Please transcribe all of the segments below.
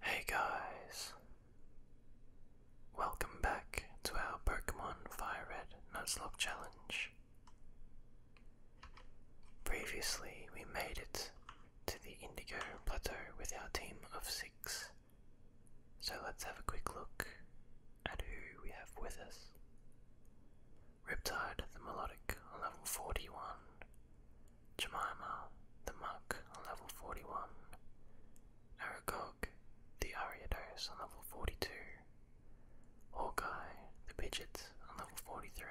Hey guys, welcome back to our Pokemon Fire Red Nuts Lock Challenge. Previously, we made it to the Indigo Plateau with our team of six. So let's have a quick look at who we have with us. Riptide the Melodic on level 41, Jemima the Muck on level 41, Aragog the Ariados on level 42, Hawkeye the Pidgeot on level 43,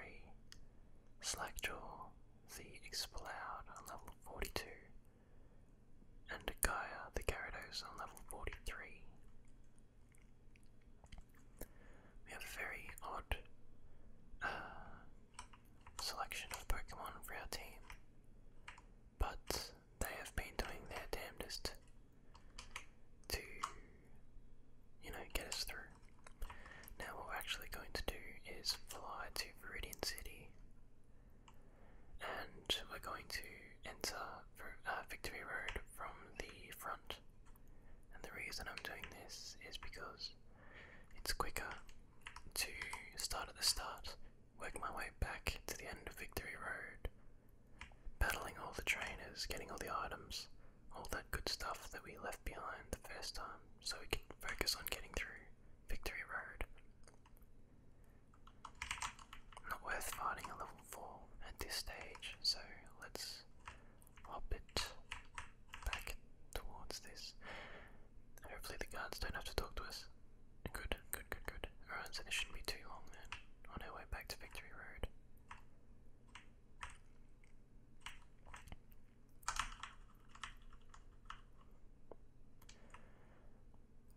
Slackjaw the Exploud on level 42, and Gaia the Gyarados on level 43. We have a very odd uh, selection of Pokemon for our team, but they have been doing their damnedest to, you know, get us through. Now, what we're actually going to do is fly to Viridian City and we're going to enter uh, Victory Road from the front. And the reason I'm doing this is because it's quicker to start at the start, work my way back to the end of Victory Road, battling all the trainers, getting all the items, all that good stuff that we left behind the first time, so we can focus on getting through Victory Road. Not worth fighting a level 4 at this stage, so let's hop it back towards this. Hopefully the guards don't have to talk to us. Good, good, good, good. Alright, so this shouldn't be too long then, on our way back to Victory Road.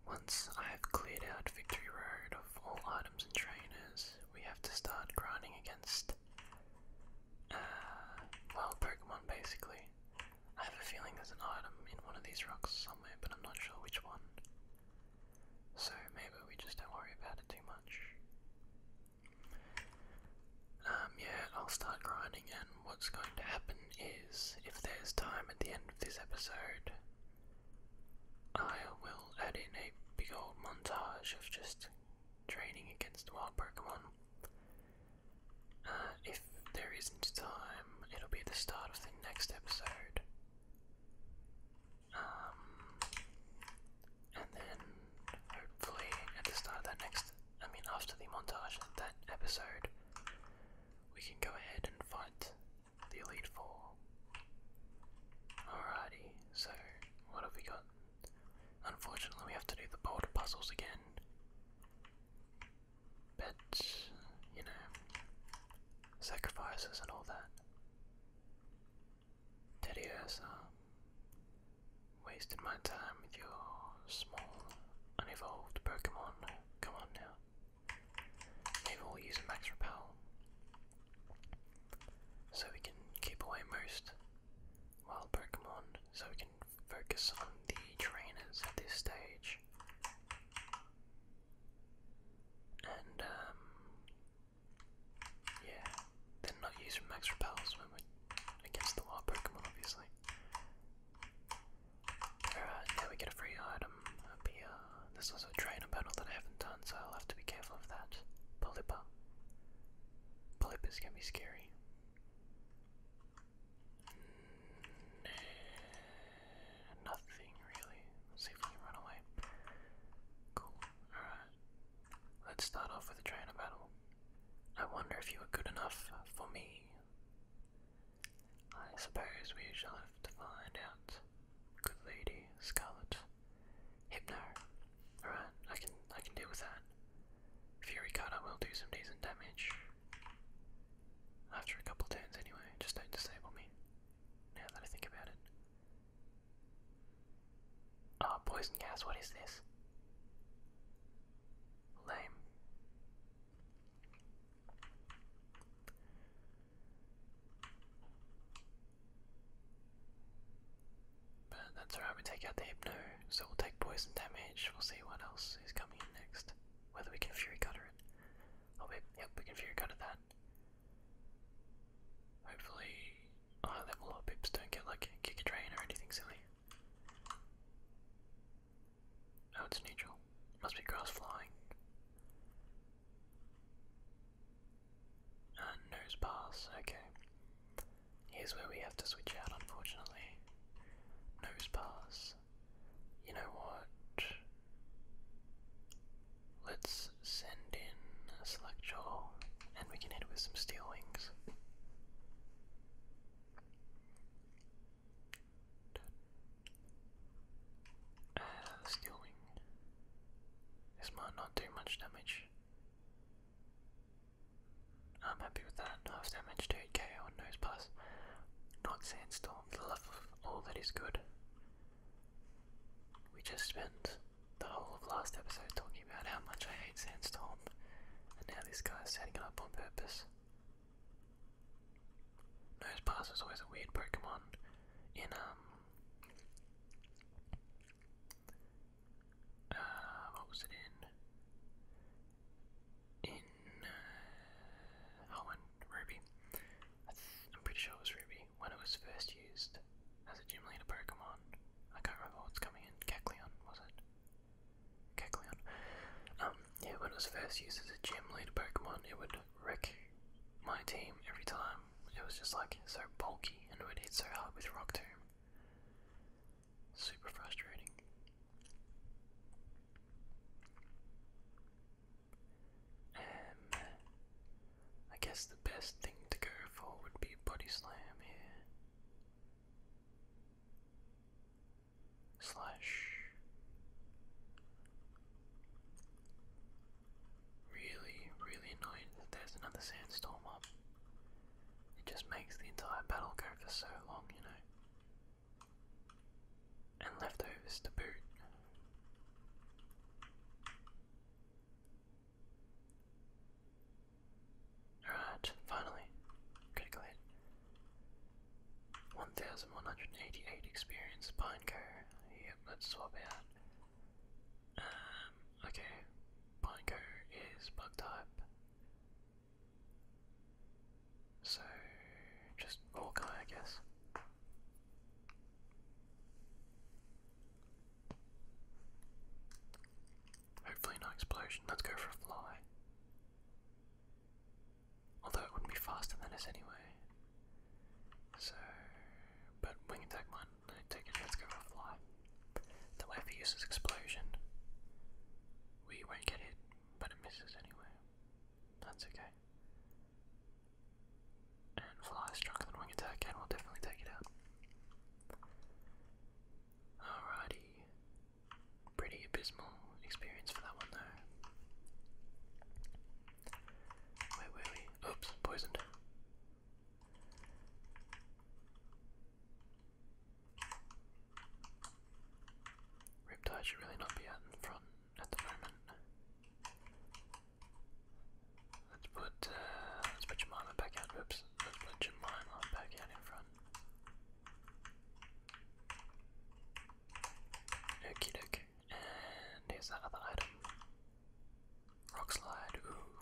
Once I have cleared out Victory Road of all items and trainers, we have to start grinding against, uh, well, Pokemon basically. I have a feeling there's an item in one of these rocks somewhere, but I'm not sure which one. So maybe we just don't worry about it too much. Um, yeah, I'll start grinding and what's going to happen is, if there's time at the end of this episode, I will add in a big old montage of just training against wild Pokemon. Uh, if there isn't time, it'll be the start of the next episode. Um, and then hopefully at the start of that next I mean, after the montage in that episode, we can go ahead and fight the Elite Four. Alrighty, so what have we got? Unfortunately, we have to do the boulder puzzles again. But, you know, sacrifices and all that. Teddy Ursa, wasting my time with your small, unevolved Pokemon. Come on now. we'll use Max Repel. So we can keep away most wild Pokemon, so we can focus on the trainers at this stage. And, um, yeah, they not used Max Repels when we against the wild Pokemon, obviously. Alright, now we get a free item This was a trainer battle that I haven't done, so I'll have to be careful of that. Polypa. Polypas can be scary. nothing really. Let's see if we can run away. Cool. Alright. Let's start off with a trainer battle. I wonder if you are good enough for me. I suppose we shall have to find out. Good lady, Scarlet. Hypno. Alright, I can I can deal with that. Fury cutter will do some decent damage. After a couple turns anyway, just don't disable me. Now that I think about it. Ah, poison gas, what is this? Lame. But that's alright, we take out the Hypno, so we'll take poison damage, we'll see what else is coming in next. Whether we can Fury Cutter it. Oh wait, yep, we can Fury Cutter that. Hopefully, high level or don't get like a Giga or anything silly. Oh, it's neutral. Must be cross-flying. Uh, nose pass, okay. Here's where we have to switch out, unfortunately. Nose pass. You know what? Let's send in a and we can hit with some steel wings. Uh, This might not do much damage. I'm happy with that. Half damage to 8k Not sandstorm, the love of all that is good. We just spent the whole of last episode talking about how much I hate sandstorm, and now this guy is setting it up on purpose. Nosepass is always a weird Pokemon in um uh what was it in? In uh oh and Ruby. I I'm pretty sure it was Ruby when it was first used as a gym leader Pokemon. I can't remember what's coming in. Cacleon, was it? Kecleon. Um, yeah, when it was first used as a gym leader Pokemon, it would wreck my team every time. It was just like so bulky and would hit so hard with Rock Tomb. Super frustrating. Um, I guess the best thing to go for would be Body Slam here slash really really annoying that there's another sandstorm up it just makes the entire battle go for so long you know and leftovers to boot Alright, finally. Critical hit. 1188 experience, Pineco. Yep, let's swap out. Um, okay. Pineco is bug type. So, just Orkai, I guess. Hopefully, no explosion. Let's go for a fly. Although it wouldn't be faster than us anyway. So, but wing attack one, I take it, let's go fly. The way uses explosion. We won't get hit, but it misses anyway. That's okay. And fly is stronger than wing attack, and we'll definitely take it out. Alrighty, Pretty abysmal experience for that one though. Where were we? Oops, poisoned. Riptide should really not be out in front at the moment. Let's put uh, let's put Jemima back out. Oops, let's put Jemima back out in front. Okie dokie. And here's that item. Rock slide.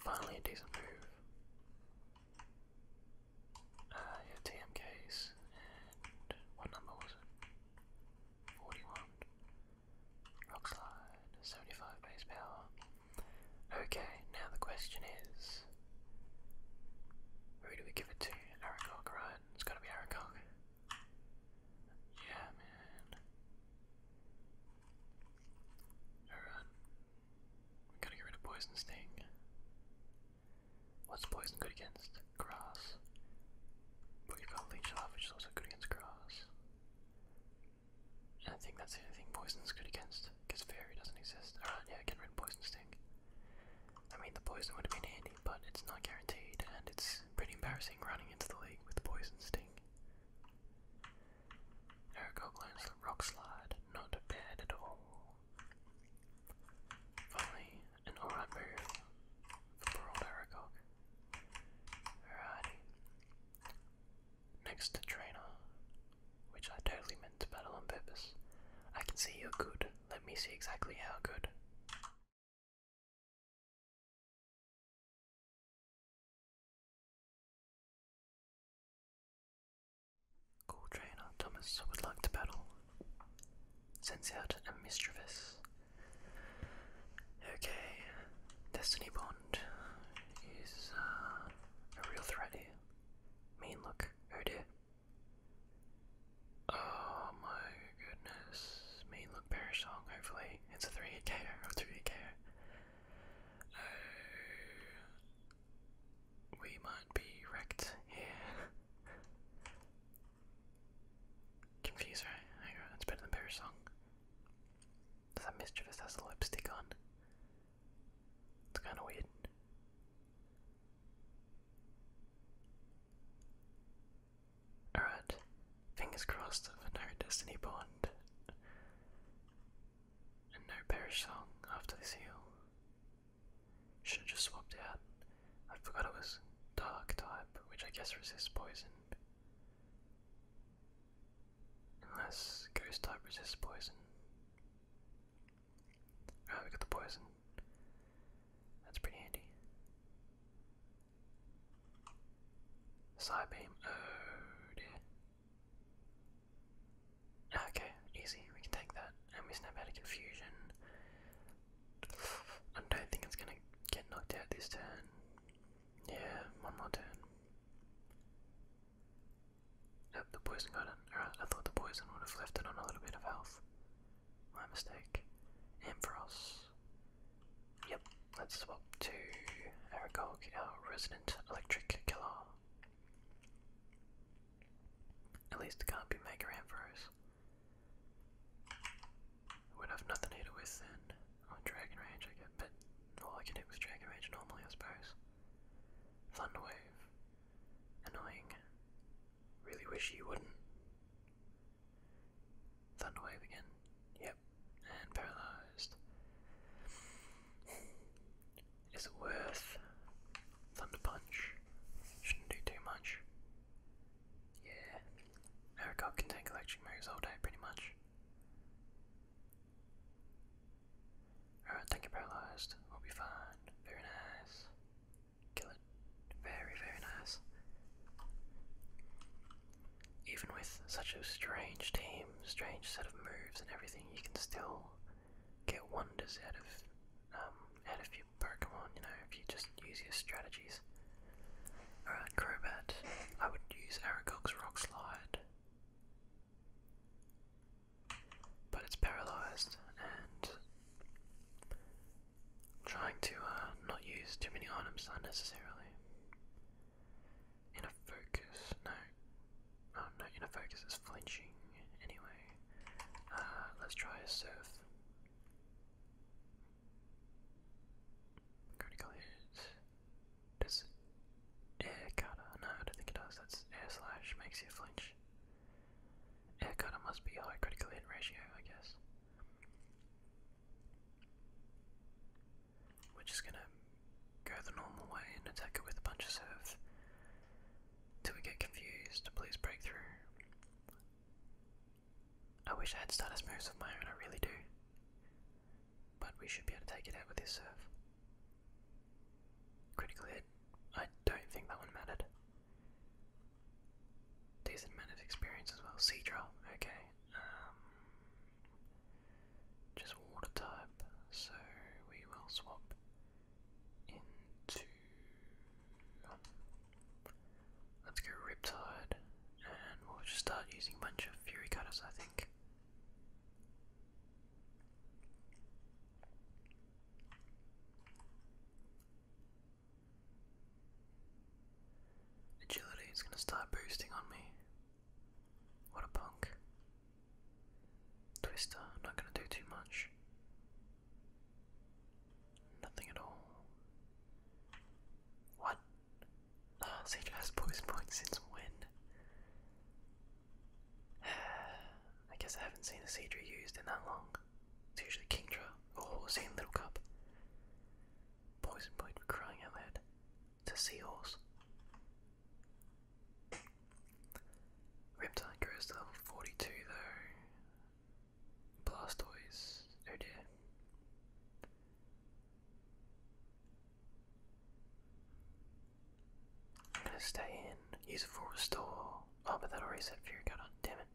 finally a decent move. Uh, yeah, TMKs. And what number was it? 41. Rock slide. 75 base power. Okay, now the question is who do we give it to? Aragog, right? it. It's gotta be Aragog. Yeah, man. Alright. We gotta get rid of Poison Sting. What's Poison good against? Grass. we got Leech Love, which is also good against grass. And I think that's the only thing Poison's good against, because Fairy doesn't exist. Alright, yeah, get rid of Poison Sting. I mean, the Poison would have been handy but it's not guaranteed, and it's pretty embarrassing running into the league with Poison Sting. Eric Rock Slide, not bad at all. Finally, an alright move for old Eric Alrighty. Next to Trainer, which I totally meant to battle on purpose. I can see you're good. Let me see exactly how good. Cool trainer Thomas would like to battle. Sends out a mischievous. Okay, Destiny Bond is uh, a real threat here. Mean look, oh dear. Oh my goodness. Main look bear song, hopefully. It's a 3 ko or 3 ko Oh. We might be wrecked here. Confused, right? It's better than bear song. Does that mischievous has lipstick on? It's kinda weird. Alright, fingers crossed for no Destiny Bond and no Parish Song after this heal. Should have just swapped out. I forgot it was Dark type, which I guess resists poison. Unless Ghost type resists poison. Oh, we got the poison. That's pretty handy. Side beam. Oh, ah, okay, easy. We can take that. And we snap out of confusion. I don't think it's gonna get knocked out this turn. Yeah, one more turn. the poison got I thought the poison would have left it on a little bit of health. My mistake. Ampharos. Yep, let's swap to Aragog, our resident electric killer. At least it can't be Mega Ampharos. Would have nothing to do with then. Dragon Rage, I get, but all I can do with Dragon Rage normally, I suppose. Thunder Wave. Annoying. Really wish you wouldn't. Thunderwave again. Yep. And paralyzed. Is it worth Thunder Punch? Shouldn't do too much. Yeah. Ericard can take electric moves all day pretty much. Alright, thank you paralyzed. We'll be fine. Very nice. Very, very nice. Even with such a strange team, strange set of moves and everything, you can still get wonders out of um, out of your Pokemon. You know, if you just use your strategies. All right, Crobat. I would use Aragog's Rock Slide, but it's paralyzed, and trying to uh, not use too many items unnecessarily. Inner focus, no. Oh no, inner focus is flinching. Anyway, uh, let's try a surf. Critical hit. Does air cutter? No, I don't think it does. That's air slash makes you flinch. It kind must be high critical hit ratio, I guess. We're just gonna go the normal way and attack it with a bunch of serve till we get confused. Please break through. I wish I had status moves of my own, I really do. But we should be able to take it out with this serve. Critical hit. I don't think that one mattered. Decent amount of experience as well. Seadra, okay. Um, just water type, so we will swap into. let's go Riptide, and we'll just start using a bunch of Fury Cutters, I think. Agility is going to start boosting on me. What a punk. Twister, i not going to do too much. Nothing at all. What? Ah, has poison points since when? I guess I haven't seen a Cedra used in that long. It's usually Kingdra Oh, same little cup. Poison point for crying out loud. It's a seahorse. Reptile goes to level 42 though. Blastoise. Oh dear. I'm gonna stay in. Use it for restore. Oh, but that'll reset Fear God on. Damn it.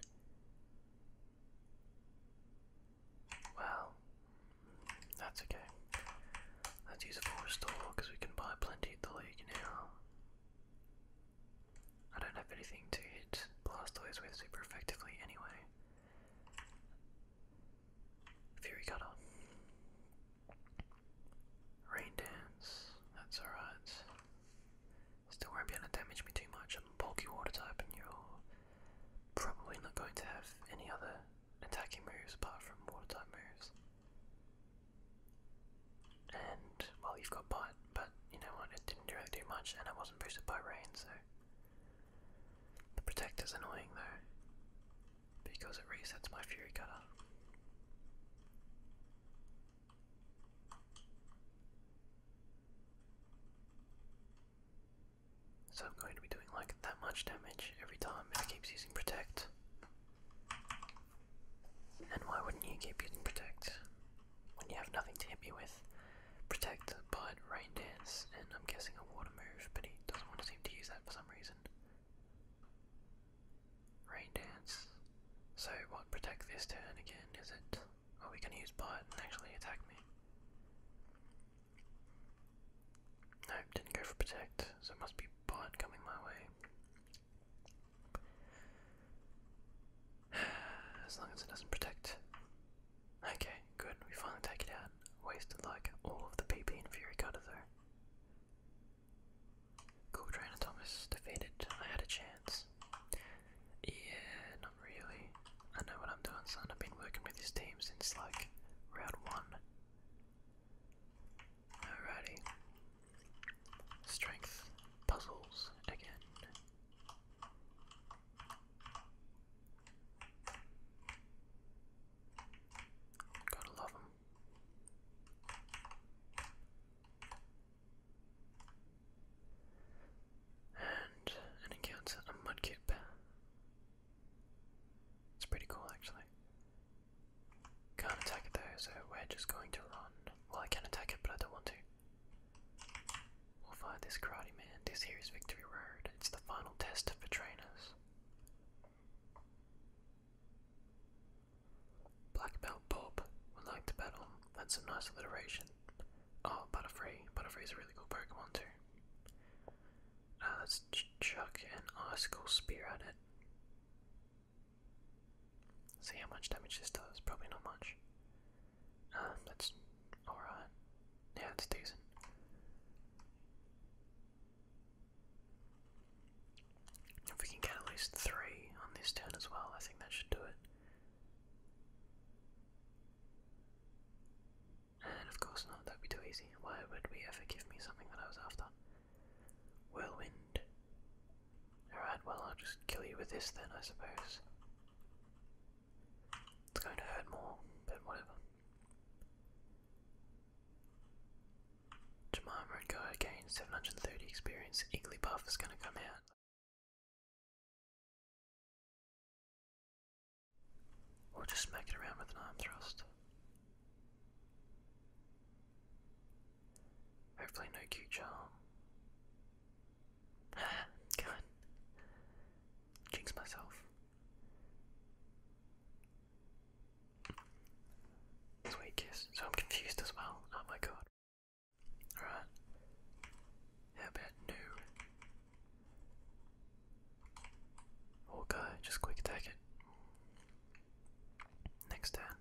Well, that's okay. Let's use a store because we can buy plenty of the league now. I don't have anything to hit Blastoise with super effectively anyway. Fury Cutter. Rain Dance, that's alright. Still won't be able to damage me too much. I'm bulky water type and you're probably not going to have any other attacking moves apart from water type moves. And well you've got bite, but you know what, it didn't do really do much and I wasn't boosted by rain, so the protector's annoying though. Because it resets my fury cutter. So I'm going to be doing like that much damage every time it keeps using protect. And why wouldn't you keep using protect when you have nothing to hit me with? Protect, but rain dance, and I'm guessing a water move, but he doesn't seem to use that for some reason. Rain dance. So what protect this turn again, is it? Oh, we can use bot and actually attack me. Nope, didn't go for protect, so it must be bot coming my way. as long as it doesn't protect. Okay, good, we finally take it out. Wasted like all of the PP and Fury Cutter though. Cool Trainer Thomas defeated. I had a chance. Yeah, not really. I know what I'm doing, son. I've been working with this team since like round one. Alrighty. Strength puzzles again. Gotta love them and an encounter a mudkip. It's pretty cool actually. Can't attack it though, so we're just going to run. Well, I can attack it, but I don't want to. We'll find this karate man. This here is Victory Road. It's the final test for trainers. Black Belt Bob would like to battle. That's a nice alliteration. Oh, Butterfree. is a really cool Pokemon too. let's uh, chuck an ice cold Spear at it. See how much damage this does. Probably not much. Um, that's alright. Yeah, it's decent. If we can get at least three on this turn as well, I think that should do it. And of course not, that'd be too easy. Why would we ever give me something that I was after? Whirlwind. Alright, well, I'll just kill you with this then, I suppose. It's going to hurt more, but whatever. Jemima and Go again, 730 experience. Igglybuff is going to come out. Or just smack it around with an arm thrust. Hopefully, no cute charm. God. Jinx myself. Sweet kiss. So I'm confused as well. Oh my god. Alright. How about new? we just quick attack it. Next turn.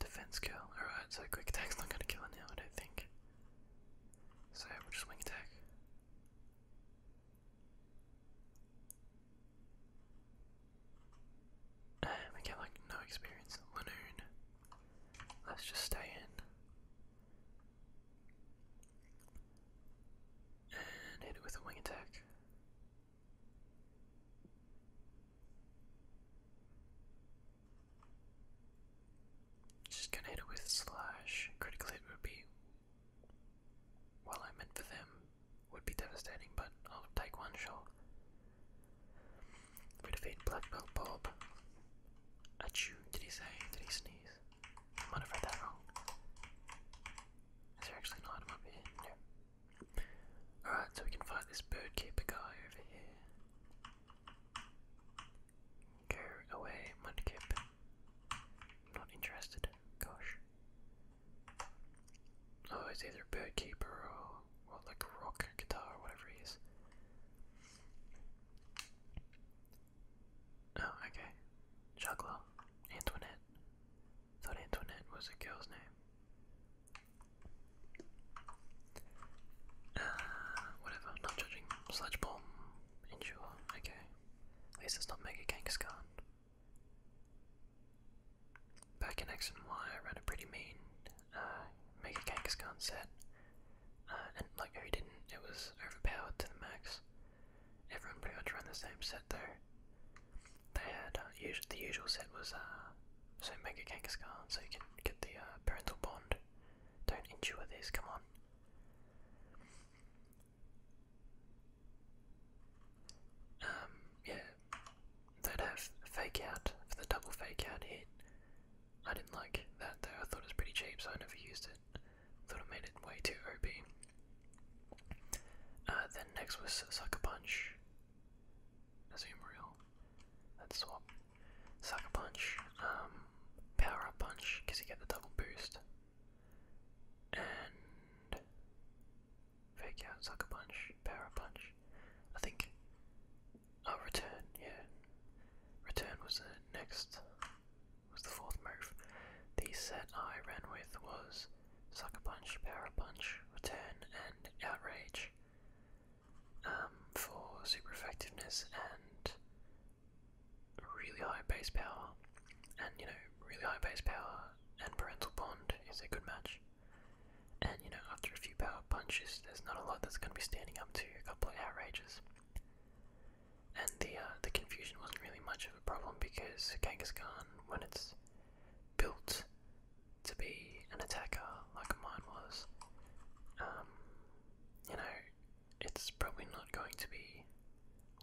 Defense kill. Alright, so quick attack's not gonna kill it now, I don't think. So we'll just wing attack. Ah, we get like no experience. Lanoon. Let's just stay in. And hit it with wing attack. Just gonna hit it with slash. Critical hit would be, well, I meant for them, would be devastating, but I'll take one shot. We defeat Black Belt Bob. Achoo, did he say? Did he sneeze? I might have read that wrong. Is there actually an item up here? No. Alright, so we can fight this bird keeper guy over here. Go away, Mudkip. Not interested. Gosh. Oh, it's either bird keeper or or like rock guitar or whatever he is. Oh, okay. Juggler. Antoinette. Thought Antoinette was a girl's name. Uh, whatever, not judging. Sledge bomb. Okay. At least it's not Mega Kangaskhan. Back in X and Y, I ran a pretty mean uh, Mega Kangaskhan set, uh, and like who didn't? It was overpowered to the max. Everyone pretty much ran the same set though. They had uh, the usual set was uh, so Mega Kangaskhan, so you can get the uh, parental bond. Don't endure this, come on. Um, yeah, they'd have fake out for the double fake out hit, I didn't like that though. I thought it was pretty cheap, so I never used it. Thought it made it way too OP. Uh, then next was Sucker Punch. A Zoom Reel. That's swap. Sucker Punch. Um, power Up Punch, because you get the double boost. And. Fake out Sucker Punch. Power Up Punch. I think Oh, return, yeah. Return was the next, was the fourth move. The set I ran with was Sucker Punch, Power Punch, Return, and Outrage um, for super effectiveness and really high base power. And, you know, really high base power and Parental Bond is a good match. And you know, after a few power punches, there's not a lot that's going to be standing up to a couple of outrages. And the uh, the confusion wasn't really much of a problem because gone when it's built to be an attacker like mine was, um, you know, it's probably not going to be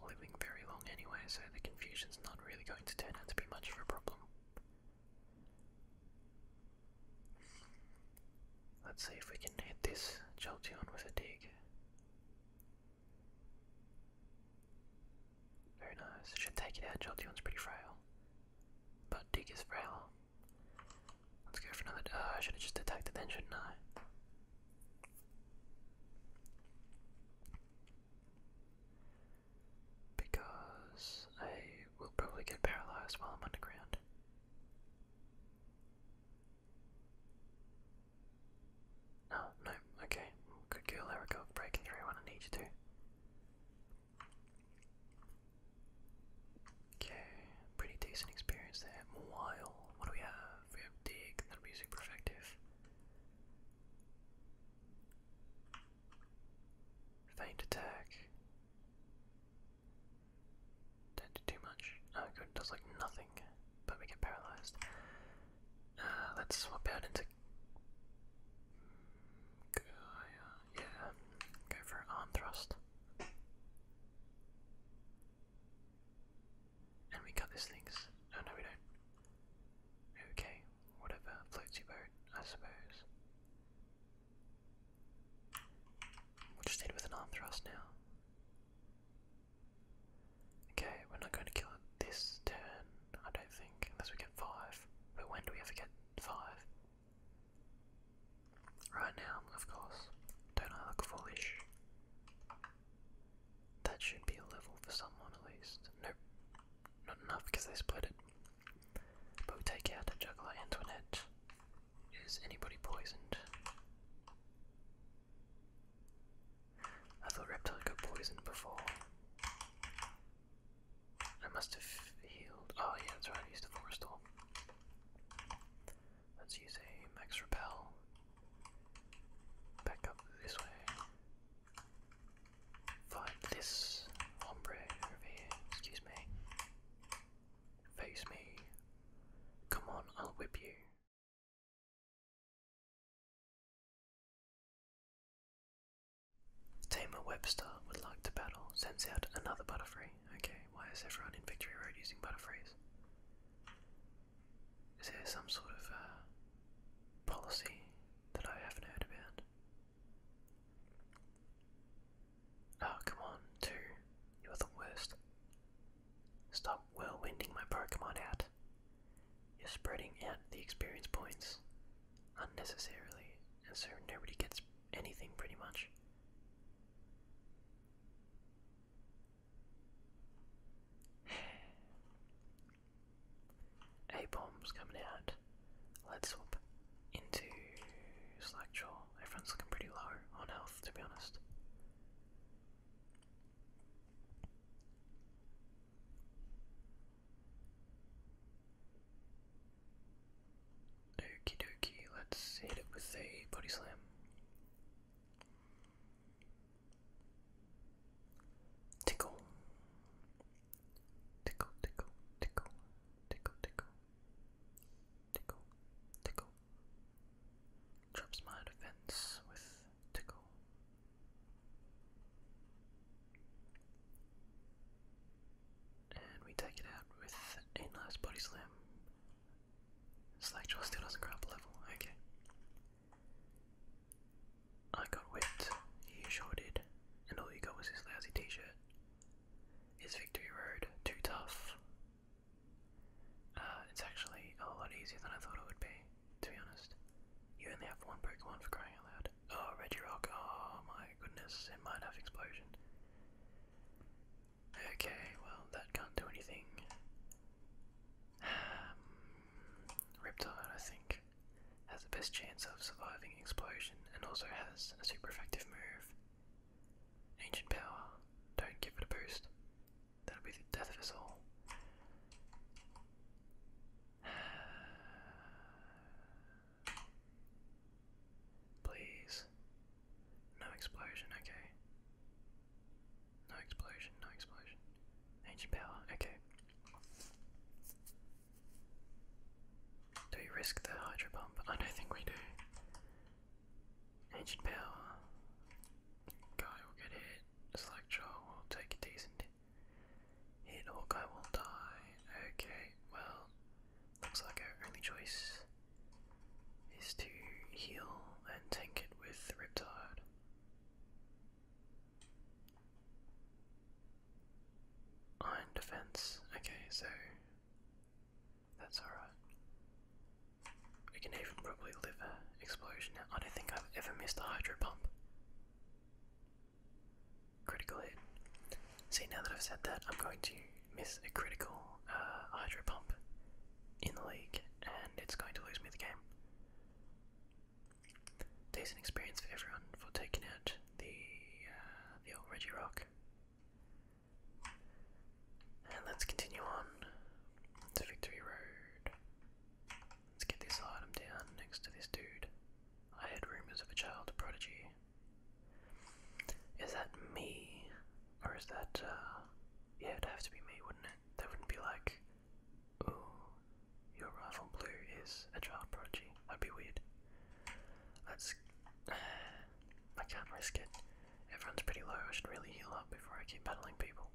living very long anyway, so the confusion's not really going to turn out to be much of a problem. Let's see if we can hit this Joltion with a dig. Very nice. Should take it out. Jolteon's pretty frail. But dig is frailer. Let's go for another. Oh, I should have just attacked it then, shouldn't I? Because I will probably get paralyzed while I'm underground. Oh, no, okay. Good girl, there we through when I need you to. Okay, pretty decent experience there. While, what do we have? We have dig, that'll be super effective. Feint attack. Don't do too much. Oh good, it does like nothing, but we get paralyzed. Uh, let's swap out into... yeah, go for an thrust. And we cut these things. Oh no, we don't. Okay, whatever floats your boat, I suppose. We'll just hit with an arm thrust now. Okay, we're not going to kill it this turn, I don't think, unless we get five. But when do we ever get five? Right now, of course. Don't I look foolish? That should be a level for someone at least. Nope, not enough because they split it. But we take out a juggler Antoinette. Is anybody poisoned? I thought Reptile got poisoned before. I must have healed. Oh, yeah, that's right, I used a Let's use a Max Repel. Back up this way. Find this hombre here. Excuse me. Face me. Come on, I'll whip you. Tamer Webster would like to battle. Sends out another Butterfree. Okay, why is everyone in Victory Road using Butterfrees? Is there some sort of uh, policy that I haven't heard about? Oh, come on, two. You're the worst. Stop whirlwinding my Pokemon out. You're spreading out the experience points unnecessarily, and so nobody gets anything pretty much. A bomb's coming out. Let's swap into Slackjaw everyone's looking pretty low on health, to be honest. Okie dokie, let's hit it with a body slam. Tickle. Tickle, tickle, tickle, tickle, tickle tickle, tickle. Drops my defense with tickle. And we take it out with a nice body slam. Slackjaw still doesn't grab level, okay. I got whipped, he sure did, and all he got was his lousy t-shirt. Is Victory Road too tough? Uh, it's actually a lot easier than I thought it would be, to be honest. You only have one Pokemon for crying out loud. Oh, Rock! oh my goodness, it might have Explosion. Okay, well, that can't do anything. Um, Riptide, I think, has the best chance of surviving Explosion and also has a super effective move. Ancient power, don't give it a boost. That'll be the death of us all. Please. No explosion, okay. No explosion, no explosion. Ancient power, okay. Do we risk the hydro pump? I don't think we do. Ancient Power. Guy will get hit. Slackjaw will take a decent hit. Hawkeye will die. Okay, well, looks like our only choice is to heal and tank it with Riptide. Iron Defense. Okay, so that's alright. We can even probably live a explosion now. I don't think I've ever missed a hydro pump. Critical hit. See, now that I've said that, I'm going to miss a critical uh, hydro pump in the lake, and it's going to lose me the game. Decent experience for everyone for taking out the uh, the old Reggie Rock. And let's continue on to Victory Road. Let's get this item down next to this dude. I had rumors of a child prodigy. Is that me? Or is that, uh, Yeah, it'd have to be me, wouldn't it? They wouldn't be like, ooh, your rival blue is a child prodigy. That'd be weird. Let's. Uh, I can't risk it. Everyone's pretty low, I should really heal up before I keep battling people.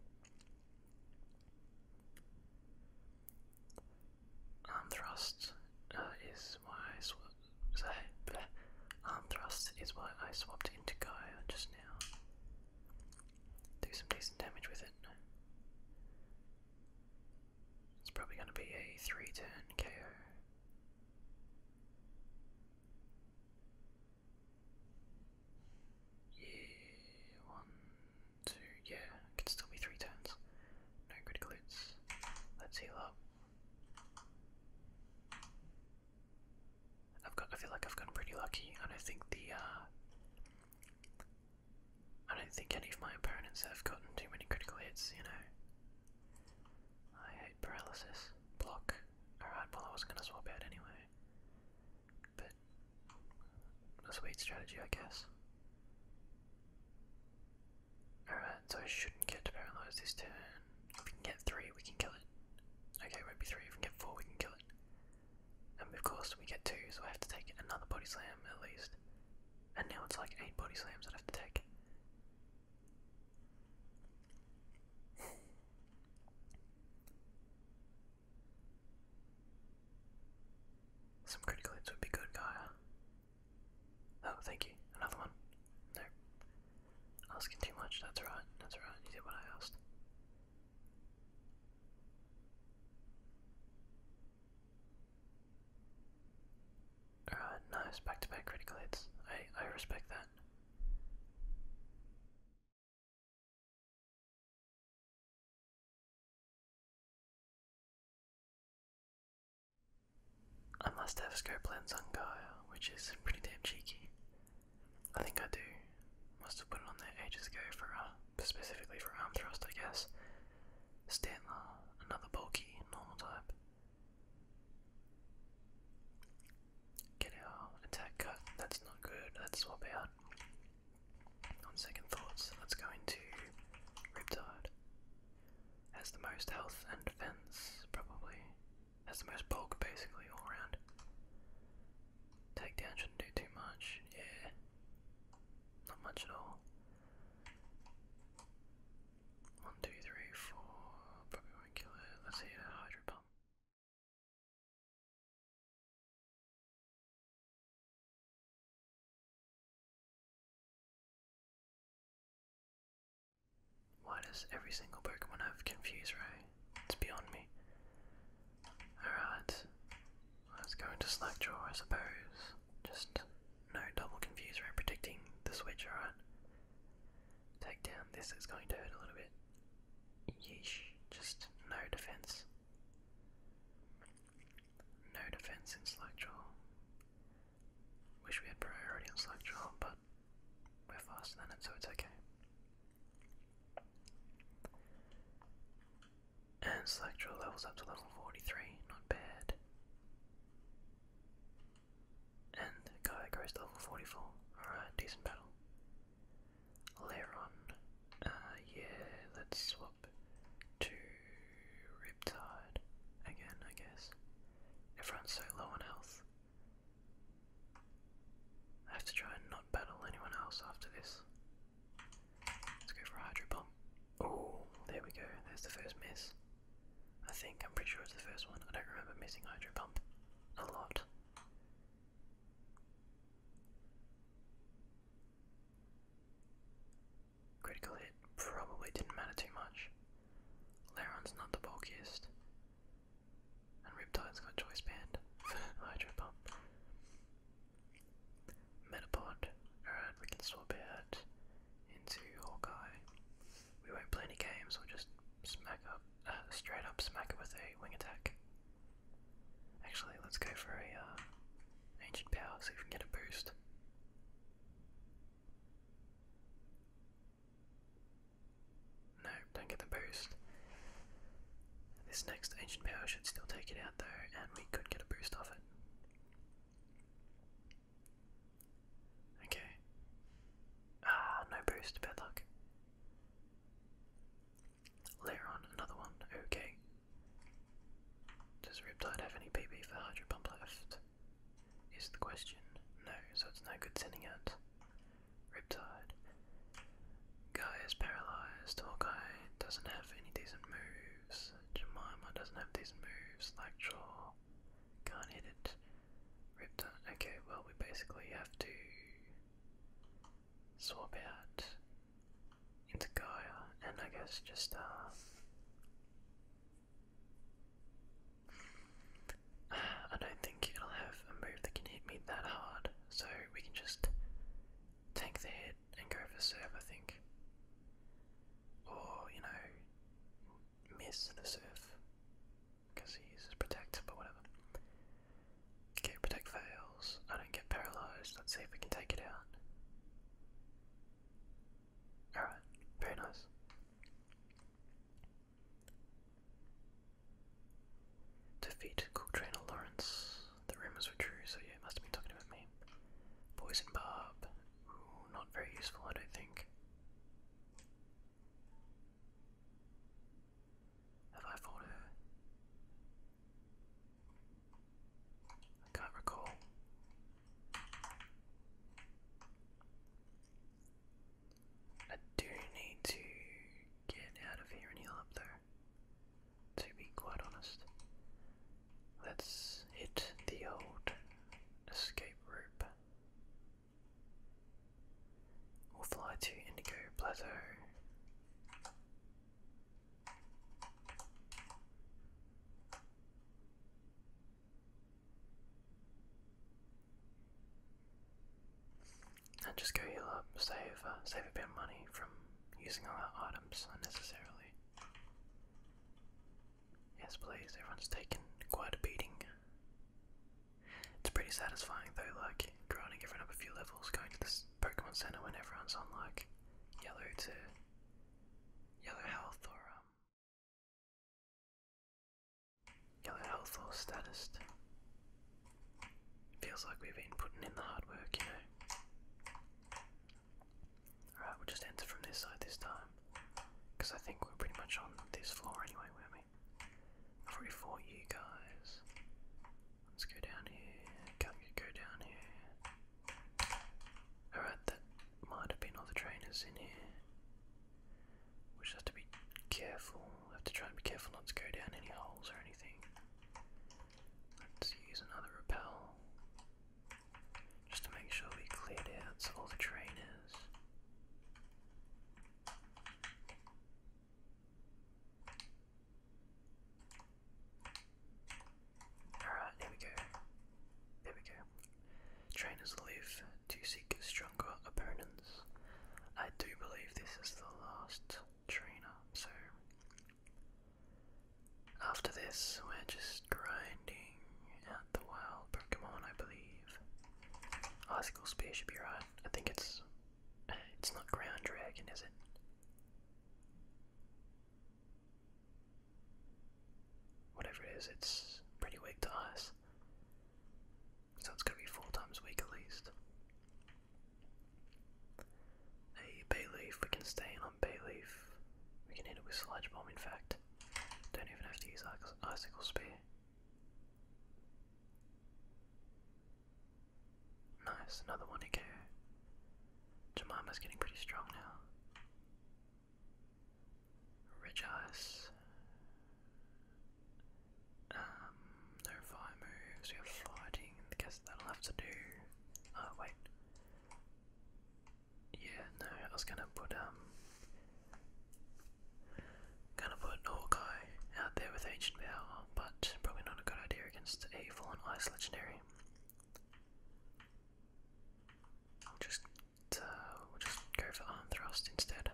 Arm thrust uh, is why I sw arm thrust is why I swapped into Gaia just now. Do some decent damage with it. It's probably going to be a three-turn KO. Yeah, one, two, yeah, could still be three turns. No critical hits. Let's heal up. I've got I feel like I've gotten pretty lucky. I don't think the uh, I don't think any of my opponents have gotten too many critical hits, you know. I hate paralysis. Block. Alright, well I was gonna swap out anyway. But a sweet strategy I guess. Alright, so I shouldn't get to paralyzed this turn. If we can get three, we can kill it. Okay, it will three, if we get four we can kill it. And of course we get two, so I have to take another body slam at least. And now it's like eight body slams i have to take. Some critical hits would be good, Gaia. Oh, thank you. Another one. No. Asking too much, that's right, that's right, you did what I asked. Uh, nice back-to-back critical hits. I I respect that. I must have scope lens on Gaia, which is pretty damn cheeky. I think I do. Must have put it on there ages ago for uh, specifically for arm thrust, I guess. Stantler, another bulky normal type. Get our attack cut. That's not good. Let's swap out. On second thoughts, let's go into Riptide. Has the most health and defense, probably. Has the most bulk, basically, all around. Takedown shouldn't do too much. Yeah. Not much at all. One, two, three, four. Probably won't kill it. Let's hit a hydro pump. Why does every single Pokemon have Confuse Ray? It's beyond me. Alright, let's go into Slackjaw, I suppose. Just no double Confuse Ray predicting the switch, alright? Take down. This is going to hurt a little bit. Yeesh. Just no defense. No defense in Slackjaw. Wish we had priority on Slackjaw, but we're faster than it, so it's okay. And Slackjaw levels up to level 43. Not bad. And the guy goes to level 44. Alright, decent battle. Leron. Uh, yeah, let's swap to Riptide again, I guess. Everyone's so low on health. I have to try and not battle anyone else after this. Let's go for Hydro Bomb. Oh, there we go. There's the first miss. I think, I'm pretty sure it's the first one. I don't remember missing Hydro Pump a lot. Critical hit probably didn't matter too much. Laron's not the bulkiest. And Riptide's got Choice Band Hydro Pump. Metapod, alright, we can swap it out into Hawkeye. We won't play any games, we'll just smack up, uh, straight up smack it with a wing attack. Actually, let's go for a uh, ancient power, see we can get a boost. No, don't get the boost. This next ancient power should still take it out though, and we could get a boost off it. Okay. Ah, no boost, bad luck. Later on, another one, okay. Does Riptide have any PP for Hydro Pump left? Is the question. No, so it's no good sending out Riptide. Guy is paralysed, guy doesn't have any decent moves, Jemima doesn't have these moves, Like Slackjaw can't hit it. Ripped Okay, well, we basically have to swap out into Gaia and I guess just, uh. I don't think it'll have a move that can hit me that hard, so we can just take the hit and go for serve, I think. Or, you know, miss the serve because he uses protect, but whatever. Okay, protect fails. I don't get paralyzed. Let's see if we can take it out. Alright, very nice. Defeat cool trainer Lawrence. The rumors were true, so yeah, must have been talking about me. Poison barb. not very useful, I don't think. Have I fought I can't recall. I do need to get out of here and heal up though, to be quite honest. Let's hit the old escape rope. We'll fly to Indigo Plateau. And just go heal up, save, uh, save a bit of money from using all our items unnecessarily. Yes, please, everyone's taken quite a beating it's pretty satisfying though, like grinding everyone up a few levels, going to the Pokemon Center when everyone's on like yellow to yellow health or um yellow health or status. Feels like we've been putting in the hard work, you know. Alright, we'll just enter from this side this time. Because I think we're pretty much on this floor anyway, weren't we? Free for you guys. Let's go down here. Can't go down here. Alright, that might have been all the trainers in here. We just have to be careful. We have to try and be careful not to go down any holes or anything. Let's use another repel. Just to make sure we cleared out all the trainers. Alright, there we go. There we go. Trainers live to seek stronger opponents. I do believe this is the last trainer, so after this we're just grinding out the wild Pokemon I believe. Osco spear should be right. I think it's it's not Ground Dragon, is it? Whatever it is, it's pretty weak to us. So it's gonna be four times weak at least. Hey, Bay Leaf, we can stay on Bay Leaf. We can hit it with Sludge Bomb, in fact. Don't even have to use Icicle Spear. Nice, another one to Jemima's getting pretty strong now. Ridge Um, no fire moves, we have fighting, guess that'll have to do. Oh, wait. Yeah, no, I was gonna put, um, Gonna put Orkai out there with Ancient Power, but probably not a good idea against a Fallen Ice Legendary. just, uh, we'll just go for Arm Thrust instead.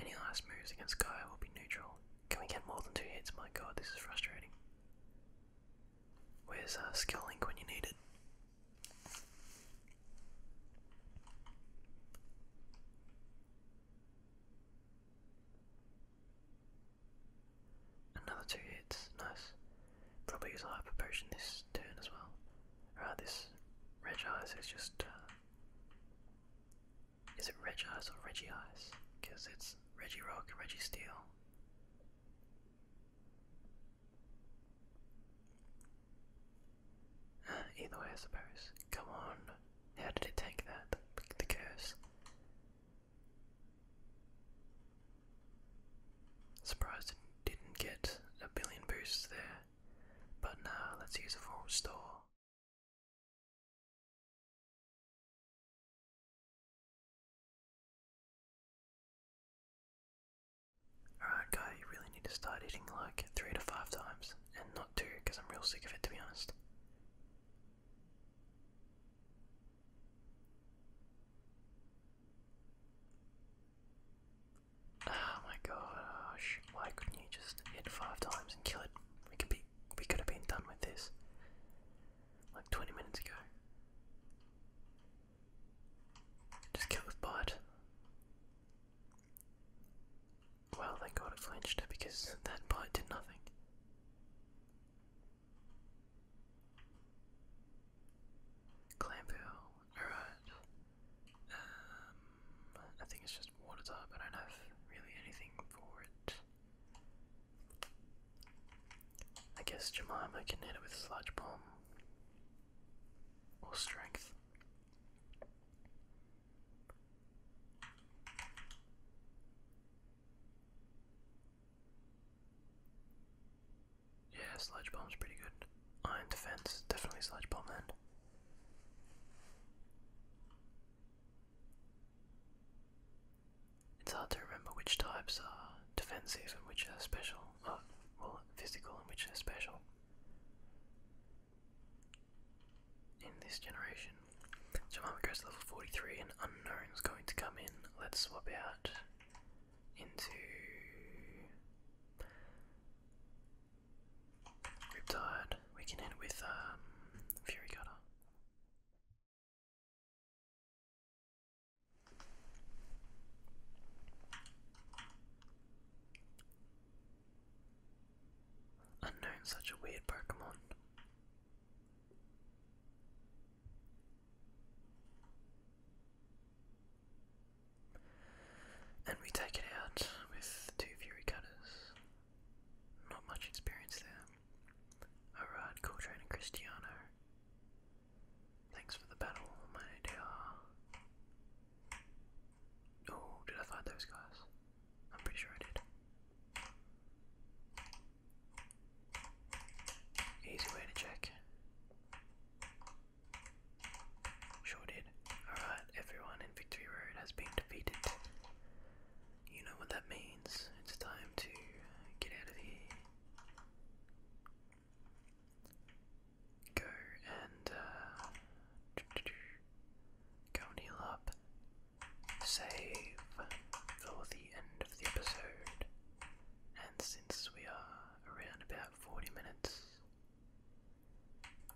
Any last moves against Gaia will be neutral. Can we get more than two hits? My god, this is frustrating. Where's uh, Skill Link when you need it? Another two hits, nice. Probably use a hyper potion this turn as well. Alright, this Reg Eyes is just. Uh, is it Reg Eyes or Reggie Eyes? Because it's Reggie Rock and Reggie Steel. Either way, I suppose. Come on. How did it take that? The, curse. Surprised it didn't get a billion boosts there. But now, let's use a full restore. Alright guy, you really need to start eating like three to five times, and not two, because I'm real sick of it to be honest. Oh my gosh, why couldn't you just hit five times and kill it? We could be we could have been done with this like 20 minutes ago. Just kill with bite. Well, thank god it flinched because that bite did nothing. Clampool, alright. Um, I think it's just water type, I don't have really anything for it. I guess Jemima can hit it with Sludge Bomb. Or Strength. Yeah, Sludge Bomb's pretty good. Iron Defense, definitely Sludge Bomb then. It's hard to remember which types are defensive and which are special. or uh, physical and which are special in this generation. Jemima goes to level 43, and Unknown's going to come in. Let's swap out into Riptide. We can end with um, Fury Cutter. Unknown such a weird Pokemon. And we take it out with two Fury Cutters. Not much experience there. Alright, cool trainer Cristiano. Thanks for the battle, my dear. Oh, did I find those guys? I'm pretty sure I did. Easy way to check. Sure did. Alright, everyone in Victory Road has been defeated. You know what that means. It's time to get out of here. Go and uh, go and heal up. Save for the end of the episode. And since we are around about 40 minutes,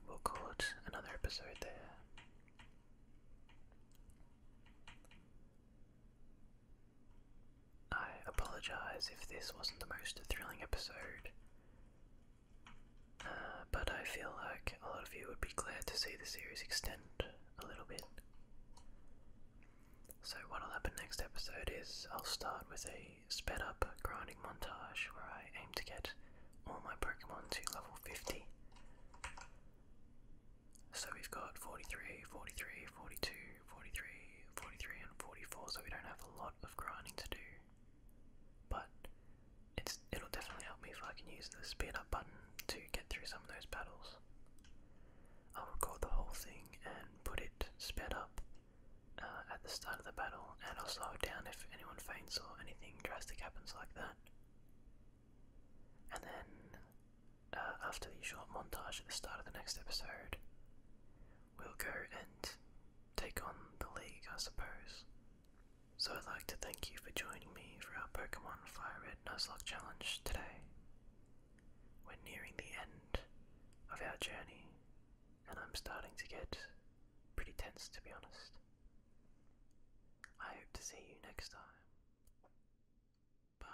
we'll call it another episode there. I apologize if this wasn't the most thrilling episode. Uh, but I feel like a lot of you would be glad to see the series extend a little bit. So, what'll happen next episode is I'll start with a sped up grinding montage where I aim to get all my Pokemon to level 50. So, we've got 43, 43, 42, 43, 43, and 44, so we don't have a lot of grinding to do. But it'll definitely help me if I can use the speed up button to get through some of those battles. I'll record the whole thing and put it sped up uh, at the start of the battle, and I'll slow it down if anyone faints or anything drastic happens like that. And then, uh, after the short montage at the start of the next episode, we'll go and take on the league, I suppose. So I'd like to thank you for joining me for our Pokemon Fire Red Nuzlocke challenge today. We're nearing the end of our journey, and I'm starting to get pretty tense to be honest. I hope to see you next time. Bye.